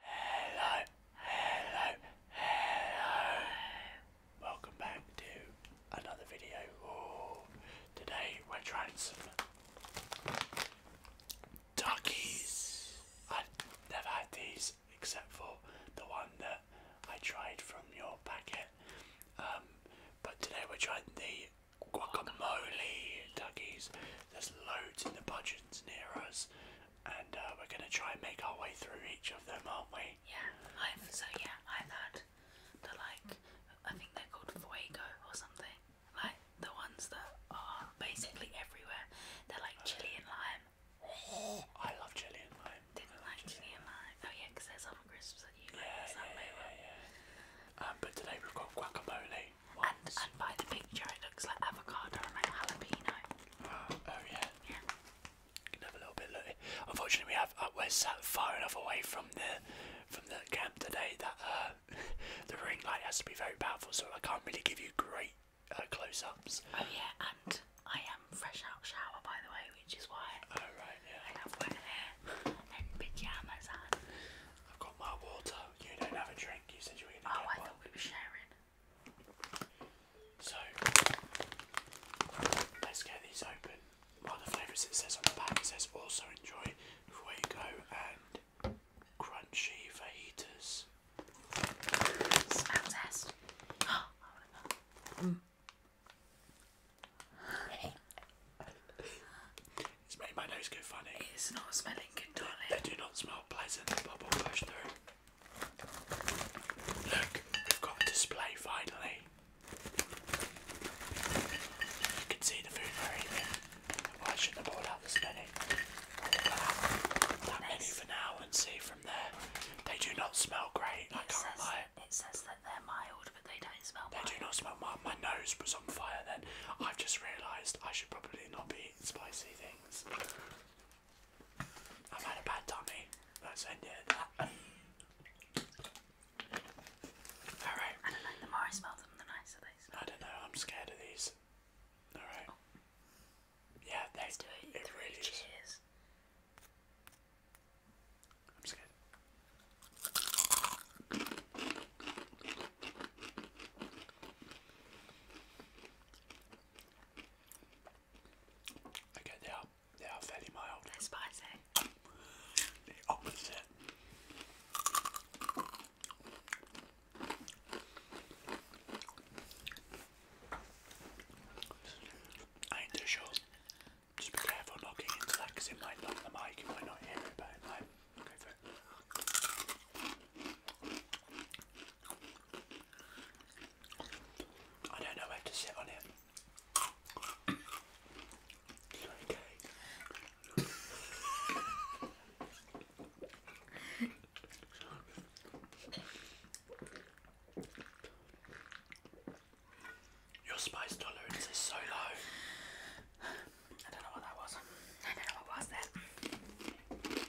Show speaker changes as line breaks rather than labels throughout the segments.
Hello, hello, hello. Welcome back to another video. Ooh, today we're trying some duckies. I've never had these except for the one that I tried from your packet. Um, but today we're trying the guacamole duckies. There's loads in the budgets near us and uh, we're going to try and make our way through each of them, aren't we? Yeah, so yeah, i had the like I think they're called fuego or something. Like the ones that are basically everywhere. They're like chili and lime. Oh, I love chili and lime. Didn't like chili, and lime. Oh yeah, because there's other crisps and you yeah, like. Yeah, yeah, yeah, yeah. Um, but today we've got guacamole. And, and by the picture, it looks like avocado and like jalapeno. Oh, oh yeah. Yeah. Can have a little bit. Look. Unfortunately, we have uh, we're sat far enough away from the from the camp today that uh, the ring light has to be very powerful, so I can't really give you great uh, close-ups. Oh yeah, and I am fresh out shower by the way, which is why. Oh right, yeah. I have one here and pajamas on. I've got my water. You don't have a drink. You said you were gonna oh, Oh, I thought we were sharing. So let's get these open. One of the flavours it says on the back says also enjoy fuego and crunchy fajitas. Smell test. It's made my nose go funny. It's not smelling good, darling. They do not smell pleasant, but push through. Look, we've got a display finally. You can see the food we're should have bought out this many. That many for now and see from there. They do not smell great, I it not lie. It says that they're mild, but they don't smell They do not smell mild. My nose was on fire then. I've just realised I should probably not be eating spicy things. I've had a bad tummy. Let's Alright. don't know, the more I smell them, the nicer they smell. I don't know, I'm scared of these. Alright. Oh. Yeah, they, do it. really cheers. I'm scared. Okay, they are they are fairly mild. They're spicy. The opposite. I ain't too sure. Just be careful not getting into because it might knock the mic, you might not hear it, but it I don't know where to sit on it. okay. Your spice tolerance is so low. I don't know what that was. I know what was that.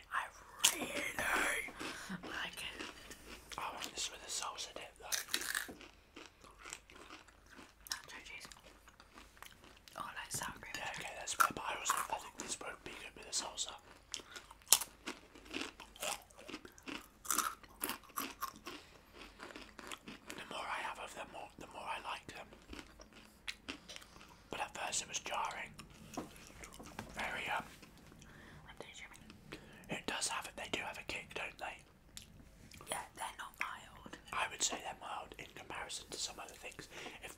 I really like it. I want this with a salsa dip though. like oh, sour cream. Yeah, okay, that's good. But I think this would be good with a salsa. The more I have of them, the more I like them. But at first it was jarring. Very um, it does have it. They do have a kick, don't they? Yeah, they're not mild. I would say they're mild in comparison to some other things. If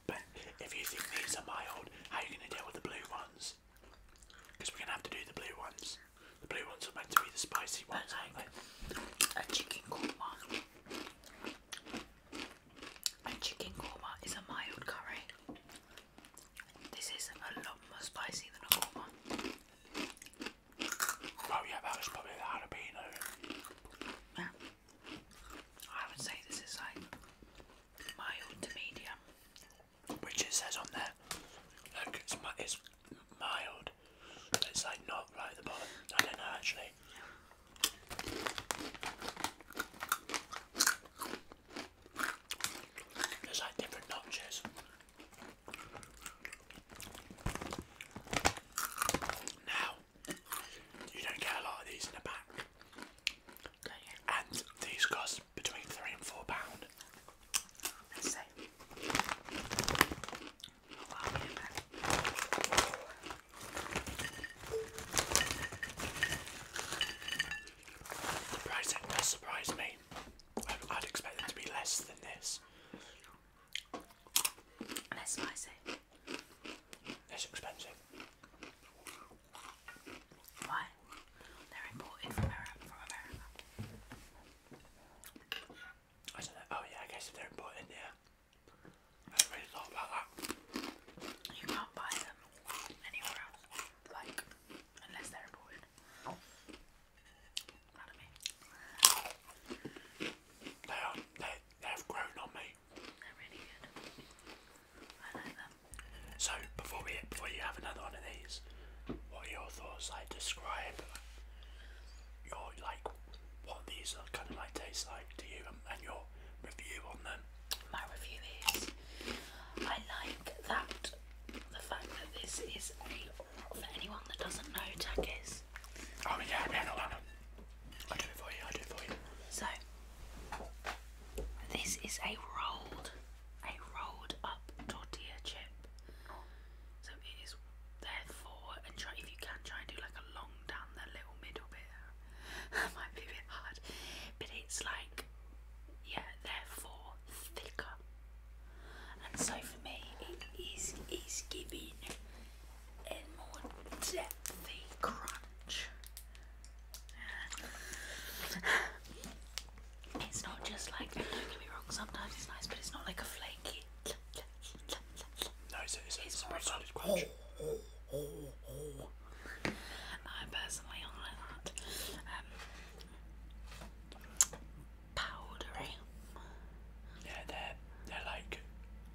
if you think these are mild, how are you going to deal with the blue ones? Because we're going to have to do the blue ones. The blue ones are meant to be the spicy ones, A chicken korma. A chicken korma is a mild curry. This is a lot more spicy than a normal one. Oh yeah, that was probably the jalapeno. I would say this is like mild to medium. Which it says on there. Look, it's, mi it's It's like not right at the bottom. I don't know actually. There's like different notches. Now, you don't get a lot of these in the back. And these cost between three and four pound. Let's see. The price tag does surprise me. I'd expect them to be less than this. Less spicy. Less expensive. Why? They're imported from America. From America. Oh yeah, I guess if they're imported, yeah. I really thought about that. You can't buy them anywhere else. Unless they're important. Not They are, they, they've grown on me. They're really good. I like them. So before we before you have another one of these, what are your thoughts? Like describe your like what these are kind of like taste like to you and your review on them my review is. I like that the fact that this is a for anyone that doesn't know tech is. Oh yeah, yeah, no, no, no. I do it for you. I do it for you. So this is a rolled, a rolled up tortilla chip. So it is therefore, and try if you can try and do like a long down the little middle bit. that might be a bit hard, but it's like yeah, therefore thicker. And so for me, it is is giving a more depthy crunch. It's not just like don't get me wrong. Sometimes it's nice, but it's not like a flaky. No, it's, it's, it's, a solid crunch. I personally like that. Um, powdery. Yeah, they're they're like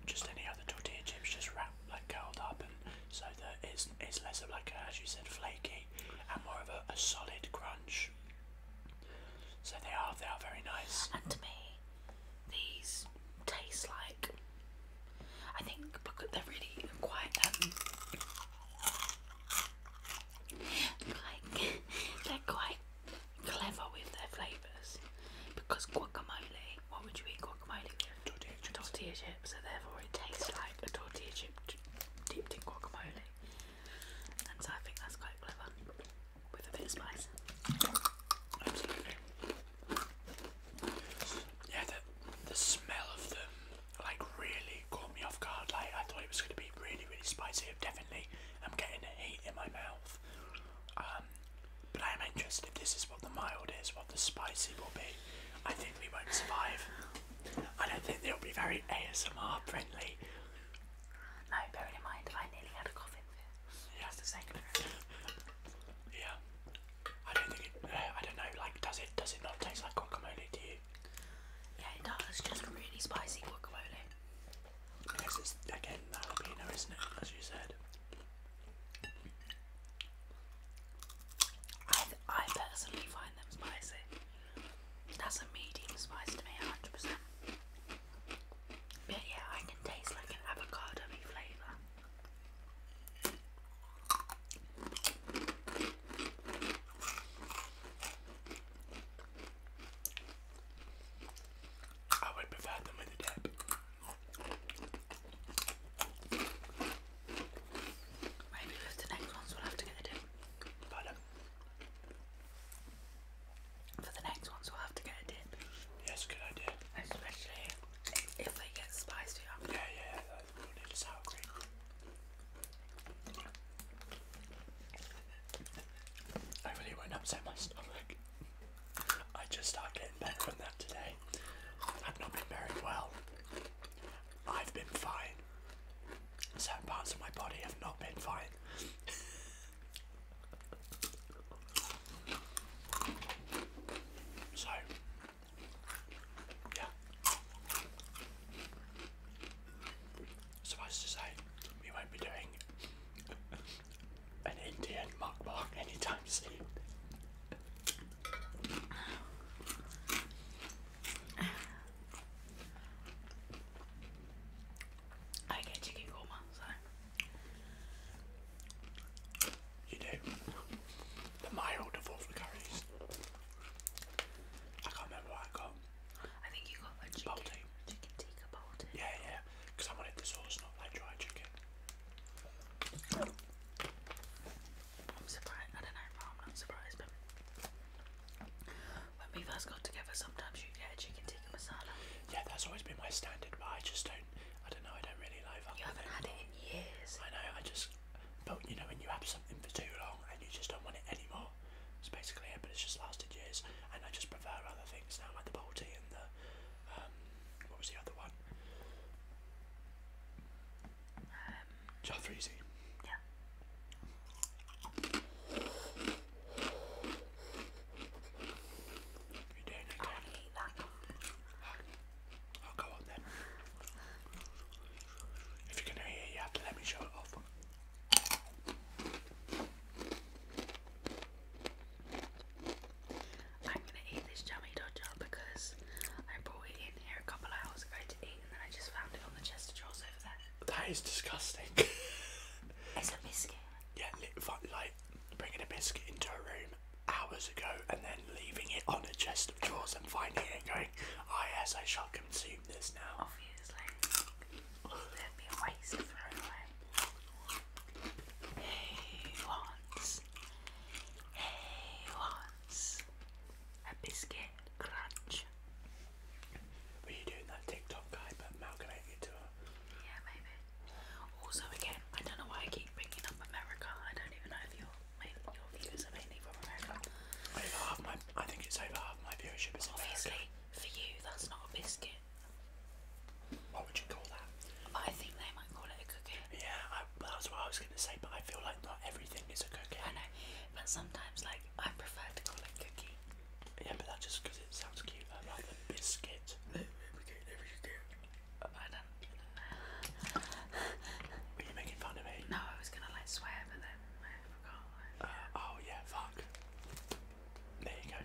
just any other tortilla chips, just wrapped like curled up, and so that it's less of like as you said flaky and more of a, a solid crunch. So they are they are very nice. And to me, these taste like I think because they're really quite um, they're quite clever with their flavours because guacamole. What would you eat guacamole with? Tortilla chips. Tortilla chips. So therefore, it tastes like a tortilla chip dipped in guacamole. And so I think that's quite clever with a bit of spice. Yeah, the smell of them like really caught me off guard. Like I thought it was going to be really, really spicy. Definitely, I'm getting a heat in my mouth. Um, but I am interested if this is what the mild is, what the spicy will be. I think we won't survive. I don't think they'll be very ASMR friendly. No, bearing in mind I nearly had a coffin fit. Yeah, yeah. I don't think it, uh, I don't know, like does it, does it not taste like guacamole to you? Yeah it does, it's just really spicy guacamole. Because it's, again, jalapeno isn't it, as you said? I, I personally find them spicy. That's a medium spice to me, 100%. But yeah, I can taste like an avocado flavour. I would prefer them with a dip. Maybe with the next ones we'll have to get a dip. For the next ones we'll have to get a dip. Yes, good idea. Especially if they get spicier. Yeah, yeah, I really won't upset my stomach. I just started getting back from that today. I've not been very well. I've been fine. Certain parts of my body have not been fine. so yeah. Suffice to say, we won't be doing an Indian mukbang anytime soon. I get chicken korma, so. You do. The mild of all the curries. I can't remember what I got. I think you got a chicken, tikka bowl Yeah, yeah, because I wanted the sauce, not like dry chicken. I'm surprised. I don't know, I'm not surprised. when we first got together, sometimes you get chicken tikka masala. Yeah, that's always been my standard, but I just don't. I don't know. I don't really like it. You haven't had it in years. I know. I just but you know, when you have something for too long and you just don't want it anymore, it's basically it. But it's just lasted years, and I just prefer other things now, like the bubble and the um, what was the other one? Um, Jaffreezy. Yeah. You're doing okay. that. I'll go on then. If you're gonna hear, you have to let me show it off. I'm gonna eat this jammy dodger because I brought it in here a couple hours ago to eat, and then I just found it on the chest of drawers over there. That is disgusting. it's a biscuit. Yeah, like bringing a biscuit into a room hours ago and then leaving it on a chest of jaws and finding it going, oh yes, I shall consume this now. Obviously. there wants. Hey, wants. A biscuit crunch. Were you doing that TikTok guy but amalgamating it to her? Yeah, maybe. Also, again, I don't know why I keep bringing up America. I don't even know if you're your viewers are mainly from America. Over half my, I think it's over half my viewership is Obviously, for you, that's not a biscuit. What would you call that? I think they might call it a cookie. Yeah, I, that's what I was going to say, but I feel like not everything is a cookie. I know, but sometimes, like, I prefer to call it cookie. Yeah, but that's just because it sounds cute, rather than biscuit. I do were you making fun of me? No, I was gonna like swear, but then I forgot. Uh, oh yeah, fuck. There you go.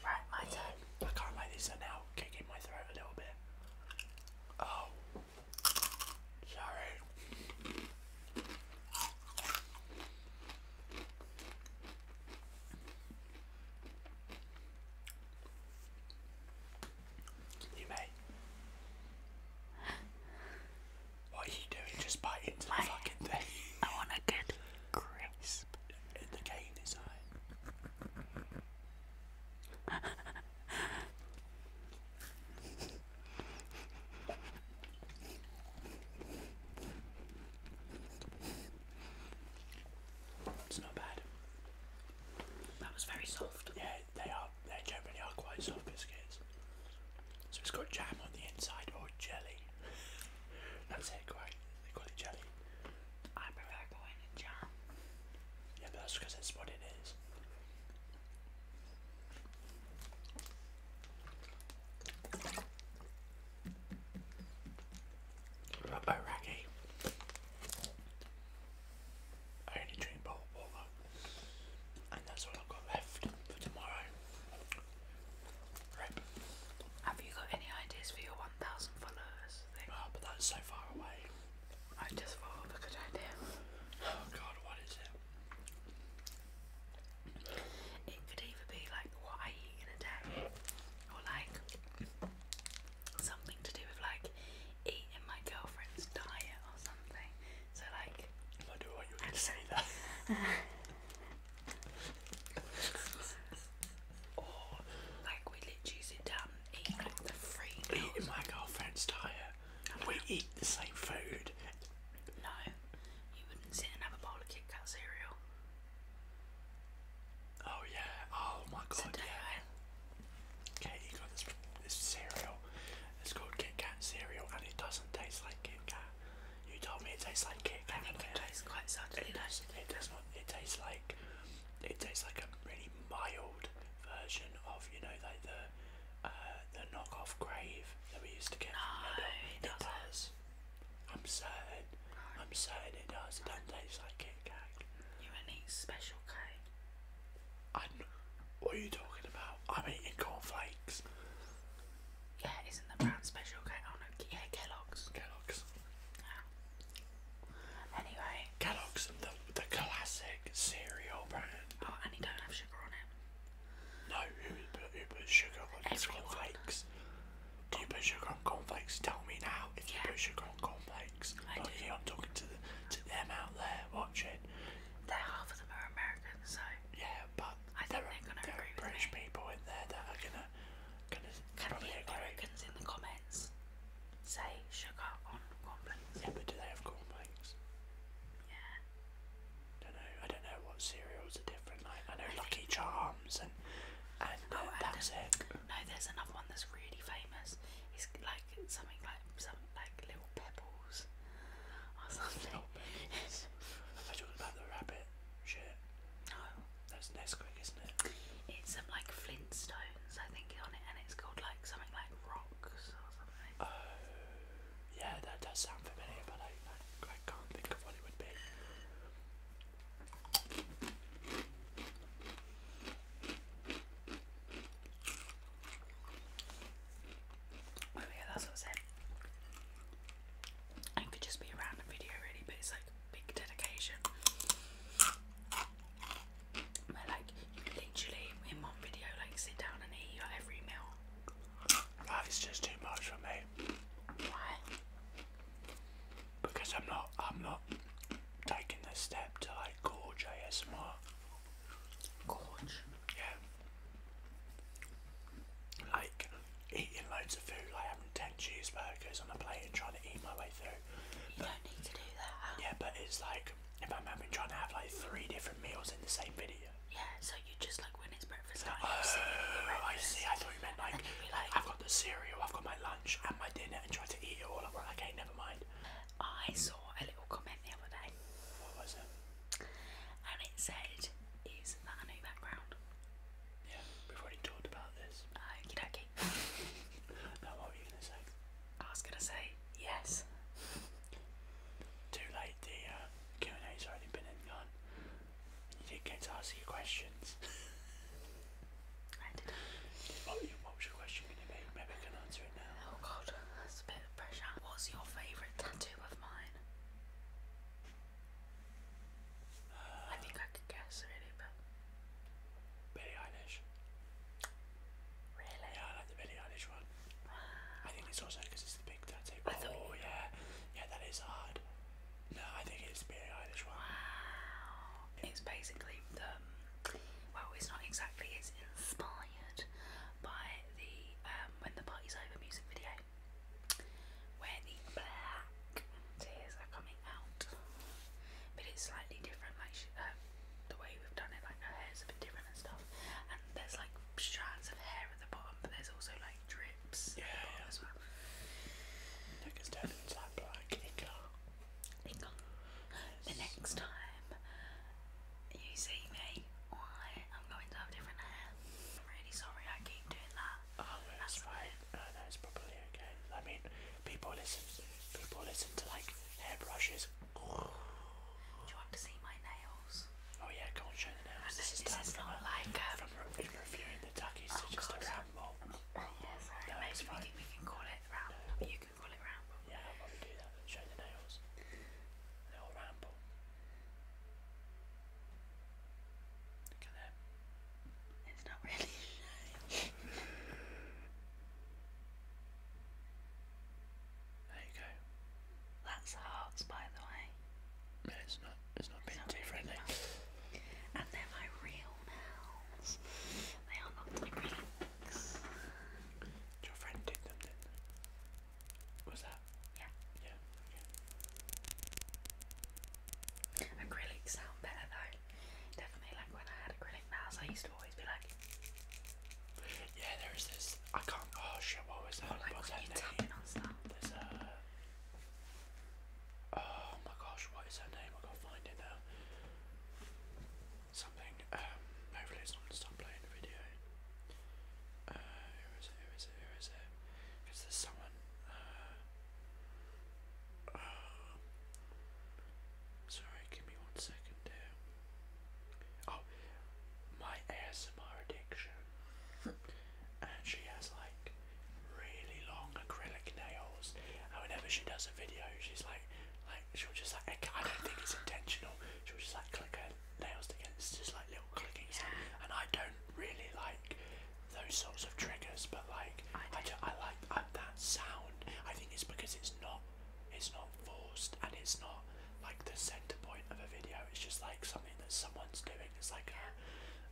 Right, my turn. I can't like this now kicking my throat a little bit. Oh, sorry. You may. What are you doing? Just bite into fucking thing. I want a good crisp. It's not bad. That was very soft. Yeah, they are they generally are quite soft biscuits. So it's got jam on the inside or jelly. that's it, quite they call it jelly. I prefer going jam. Yeah, but that's because that's what it is. Robbo Raggy. I only drink bottled water, and that's all I've got left for tomorrow. Have you got any ideas for your 1,000 followers thing? Ah, but that's so far away. I just thought of a good idea. Oh god, what is it? It could either be like what I eat in a day, or like something to do with like like eat my girlfriend's diet or something. So like I do say that. or like we literally sit down and eat like the free meals. my girlfriend's diet. we eat the same food. No. You wouldn't sit and have a bowl of Kit Kat cereal. Oh yeah. Oh my god. Okay, you got this this cereal. It's called Kit Kat cereal, and it doesn't taste like Kit Kat. You told me it tastes like Kit Kat. I it tastes quite subtly. It does. not. It tastes like. It tastes like a really mild version of you know like the uh, the knockoff Grave that we used to get. No, it, it does. I'm certain. I'm certain it does. It doesn't taste like Kit Kat. You need special K what are you talking about? I'm eating cornflakes. Yeah, isn't the brand special? Okay, oh no, yeah, Kellogg's. Kellogg's. Yeah. Anyway. Kellogg's, the, the classic cereal brand. Oh, and you don't have sugar on it. No, who, who puts sugar on Everyone. cornflakes? Do you put sugar on cornflakes? Tell me now if yeah. you put sugar on cornflakes. I Lucky do. I'm talking to, the, to them out there watching. They're half of them are American, so yeah, but I there are, British people in there that are gonna gonna Can probably the Americans in the comments say sugar on cornflakes? Yeah, but do they have cornflakes? Yeah. Don't know. I don't know what cereals are different. Like I know Lucky Charms and and oh, uh, oh, that's it. No, there's another one that's really famous. It's like something like something like little pebbles or something. Not pebbles. Are you talking about the rabbit shit? No. That's Nesquik, isn't it? It's some um, like Flintstones, I think, on it, and it's called like something like rocks or something. Oh, yeah, that does sound familiar, but I, I, I can't think of what it would be. Oh yeah, that's what I said. And could just be a video really, but it's like big dedication. Where like you literally in one video like sit down and eat your every meal. That is just too much for me. Why? Because I'm not I'm not taking the step to like gorge ASMR. Gorge. Yeah. Like eating loads of food, like having ten cheeseburgers on a plate and trying to eat my way through. You but, don't need to do that. Yeah, but it's like if I'm having trying to have like three different meals in the same video. Yeah, so you just like when it's breakfast oh, time. Oh, I see. I thought you meant like, like I've got the cereal, I've got my lunch and my dinner, and try to eat it all. I'm like, okay, never mind. I saw a little comment the other day. What was it? And it said, "Is that a new background?" Yeah, we've already talked about this. Okie dokie. now what were you gonna say? I was gonna say yes. Too late. The uh, Q and A's already been and gone. You did not get to ask your questions. I did. What, what was your question? Oh god, that's a bit of pressure. What's your favourite tattoo of mine? I think I could guess really, but. Billie Eilish. Really? I like the Billie Eilish one. I think it's also because it's the big tattoo. oh yeah, yeah, that is hard. No, I think it's the Billie one. Wow. It's basically the. Um, well, it's not exactly. It's inspired by the um, When the Party's Over music video where the black tears are coming out. But it's slightly different, like uh, the way we've done it, like her hair's a bit different and stuff. And there's like strands of hair at the bottom, but there's also like drips yeah, as well. Look, it's turned into black the next time you see me, I am going to have different hair. I'm really sorry I keep doing that. Oh, no, that's fine. No, no, it's probably okay. I mean, people listen. People listen to like hairbrushes. Do you want to see my nails? Oh yeah, go on, show the nails. This is, this is from not a, like um, from re reviewing the duckies oh, to just God. a ramble. Oh, yeah, sorry. No, maybe we can, we can call it ramble. No. You can we Yeah, do that. Show the nails. A little ramble. Look at It's not really There you go. That's hearts, by the way. No, it's not. It's not being too friendly. and they're my real nails. They are not my real your friend did them, didn't that? Yeah. Yeah. Okay. Acrylics sound better though. Definitely, like when I had acrylic nails, I used to always be like. Yeah, there is this. I can't. Oh shit! What was that? What's when name? Oh my gosh! What is her name? I gotta find it now something. Um, hopefully, it's not going to stop playing the video. Uh, who is it? Who is it? Who is it? Because someone. Uh, uh, sorry, give me one second here. Oh, my ASMR addiction. and she has like really long acrylic nails. And whenever she does a video, she's like, like she was just like I don't think it's intentional. she was just like click her nails together. just like little clicking yeah. And I don't really like those sorts of triggers, but like I I, do, I like that sound. I think it's because it's not it's not forced and it's not like the center point of a video. It's just like something that someone's doing. It's like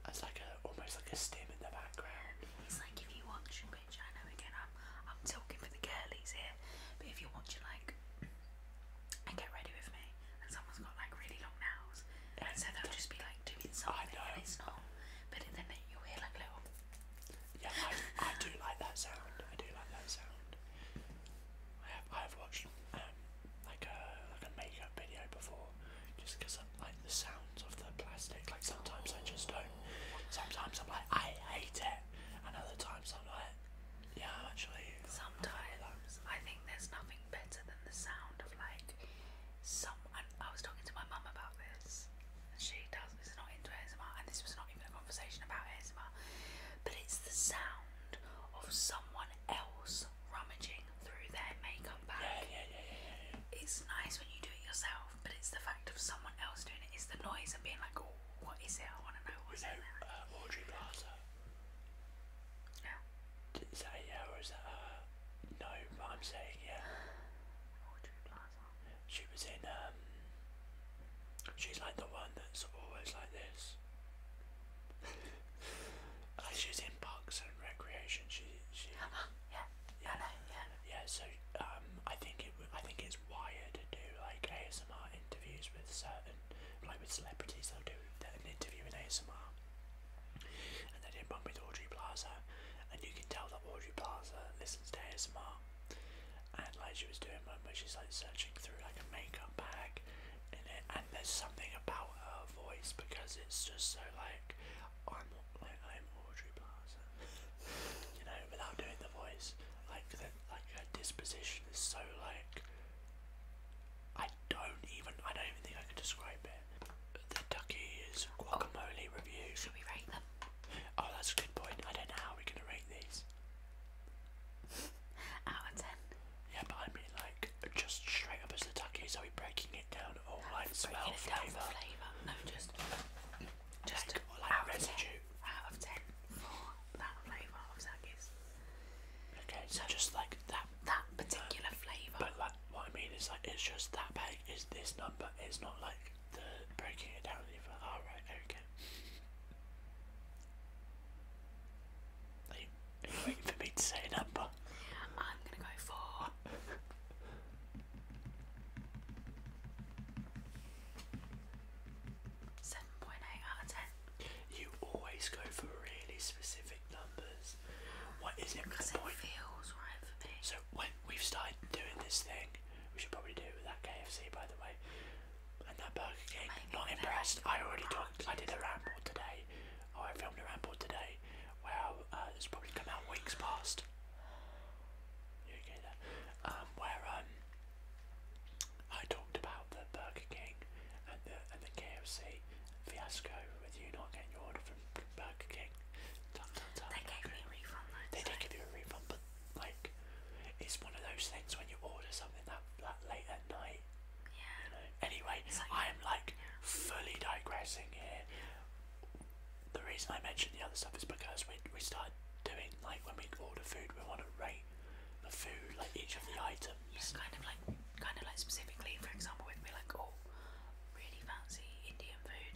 it's like a almost like a stim in the background. It's like if you watch I know again I'm I'm talking for the girlies here, but if you're watching like and get ready with me and someone's got like really long nails and so they'll just be like doing something and it's not but then you'll hear like little Yeah, I, I do like that sound. I do like that sound. I have I have watched um like a like a makeup video before just because I like the sounds of the plastic like sometimes I just don't sometimes I'm like I hate it Another time. Sometimes i yeah, actually. Sometimes I think there's nothing better than the sound of like some. I was talking to my mum about this, she does is not into ASMR, and this was not even a conversation about ASMR, but it's the sound of someone else rummaging through their makeup bag. Yeah, yeah, yeah, yeah, It's nice when you do it yourself, but it's the fact of someone else doing it. It's the noise and being like, what is it? I want uh, to know what's it. Uh, Audrey Plaza. No. Is that yeah or is that uh no? I'm saying yeah. Audrey Plaza. She was in um. She's like the one that's always like this. like uh, she's in Parks and Recreation. She she. Yeah. Yeah. yeah. Yeah. So um, I think it. I think it's it's wired do like ASMR interviews with certain like with celebrities they'll do an interview in ASMR and they did one with Audrey Plaza and you can tell that Audrey Plaza listens to ASMR and like she was doing one where she's like searching through like a makeup bag in it and there's something about her voice because it's just so like I'm like I'm Audrey Plaza you know, without doing the voice. Like, the, like her disposition is so like. I don't even. I don't even think I could describe it. The is guacamole oh. review. Should we rate them? Oh, that's a good point. I don't know how we're gonna rate these. Out of ten. Yeah, but I mean, like, just straight up as the Duckies. Are we breaking it down or like smell, flavor? No, just. Just like, like out, Of 10, out of 10 for that flavour of Zaggis. Okay, so just like that. That uh, particular flavour. But like, what I mean is like, it's just that bag is this number. It's not like the breaking it down either. All oh, right, okay. you, waiting for me to say number? I'm gonna go for. 7.8 out of 10. You always go for really specific numbers. What is it? Because it feels right for me. So when we've started doing this thing, we should probably do it with that KFC by the way. And that Burger King, not impressed. I already talked, I did a ramble today. Oh, I filmed a ramble today. Well, uh, it's probably come out weeks past. You okay there? Um, where um, I talked about the Burger King and the and the KFC fiasco with you not getting your order from Burger King. they gave me a refund. They did give you a refund, but like, it's one of those things when you order something that that late at night. Yeah. Anyway, I am like fully digressing here. The reason I mentioned the other stuff is because we we started doing. Like when we order food, we want to rate the food, like each of the items. Yeah, kind of like, kind of like specifically, for example, we'd like, all oh, really fancy Indian food.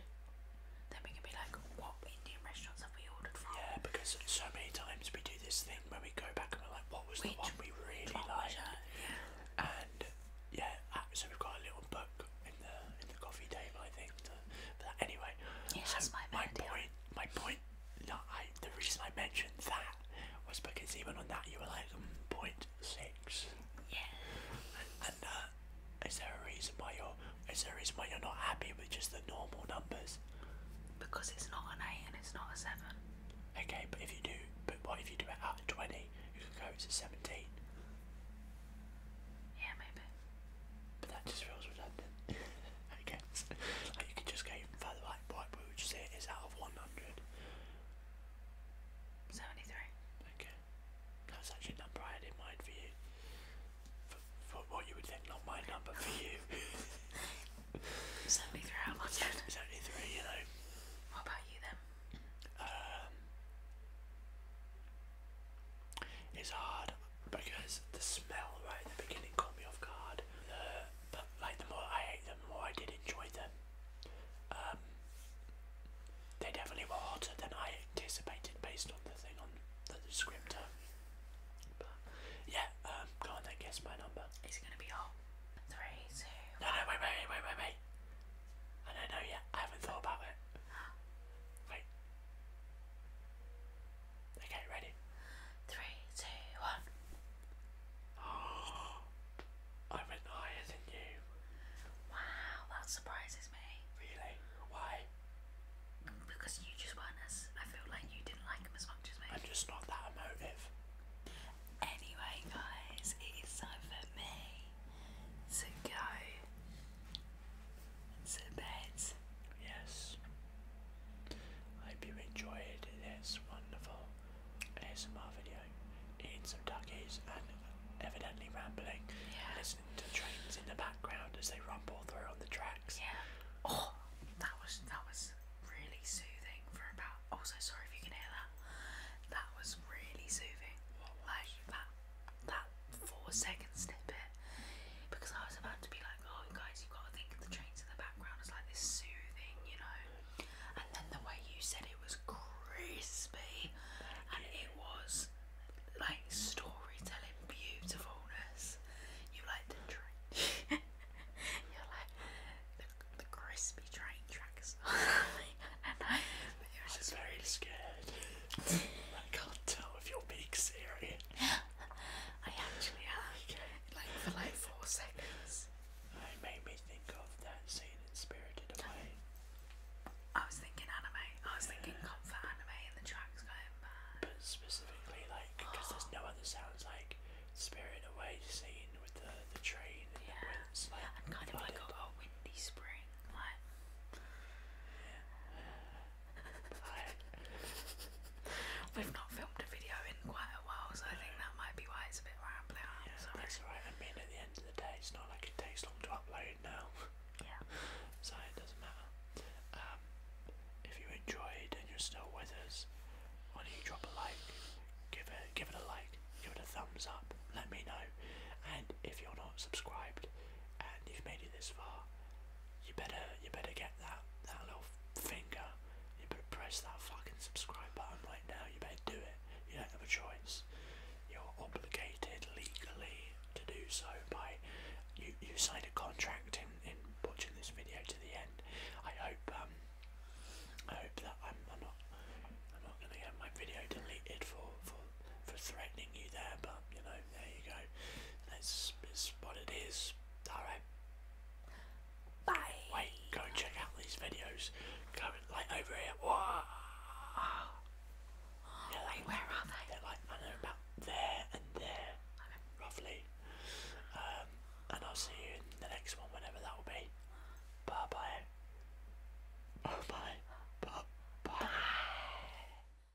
Then we can be like, what Indian restaurants have we ordered from? Yeah, because so many times we do this thing when we go back and we're like, what was the one we really liked? Yeah. And yeah, so we've got a little book in the in the coffee table, I think, after Anyway, that's my, point, my point. No, I, the reason I mentioned that was because even on that you were like um, point six. Yeah. And uh, is there a reason why you're? Is there a reason why you're not happy with just the normal numbers? Because it's not an eight and it's not a seven. Okay, but if you do, but what if you do it out of twenty? You can go to seventeen. Yeah, maybe. But that just feels redundant, I Like you could just go even further like what would you say it is out of 100? 73. Okay. That's actually a number in mind for you. for what you would think, not my number for you. 73 out of 100. 73, you know. What about you then? Um, it's hard because the smell right at the beginning caught me off guard. The, but like the more I ate them, the more I did enjoy them. Um, they definitely were hotter than I anticipated based on the thing on the descriptor. But yeah, um, go on then, guess my number. Is it gonna be hot? Three, two. No, no, wait, wait, wait, wait, wait, wait. I don't know yet. I haven't thought about it. Wait. Okay, ready? Three, two, one. I went higher than you. Wow, that surprises me. Really? Why? Because you just weren't as. I feel like you didn't like him as much as me. I'm just not that emotive. Anyway, guys, it is time for me to go and sit beds. Yes. I hope you enjoyed this wonderful ASMR video. Eating some ducky's and evidently rambling. Listening to trains in the background as they rumble through on the tracks. Yeah. Oh, that was that was really soothing for about. Oh, so sorry if you can hear that. That was really soothing. What was? that that four second snippet because I was about to be like, oh guys, you've got to think of the trains in the background as like this soothing, you know. And then the way you said it was crispy and it was like storytelling beautifulness. You like the train. You're like the, the crispy train tracks. and I, it was just very scared. I can't tell if you're being serious. I actually have. Like for like four seconds. It made me think of that scene in Spirited Away. I was thinking anime. I was thinking comfort anime and the track's going mad. But specifically like, because there's no other sounds like Spirit Away scene with the, the train yeah. and kind of like a, windy spring. Like. We've not filmed a video in quite a while, so I think that might be why it's a bit rambling. I'm Yeah, I mean, at the end of the day, it's not like it takes long to upload now, Yeah. so it doesn't matter. Um, if you enjoyed and you're still with us, why don't you drop a like? Give it, give it a like. Give it a thumbs up. Let me know. And if you're not subscribed, and you've made it this far, you better you better get that that little finger. You better press that fucking subscribe button right now. You better do it. You don't have a choice. You're obligated legally to do so by you. You signed a contract in in watching this video to the end. I hope um I hope that I'm, I'm not I'm not gonna get my video deleted for for for threatening you there, but you know there you go. That's, that's what it is. Alright. Bye. Wait, go check out these videos. Go like over here. where are they? They're like I know about there and there, roughly. Um, and I'll see you in the next one, whenever that will be. Bye bye. Bye Bye bye. bye.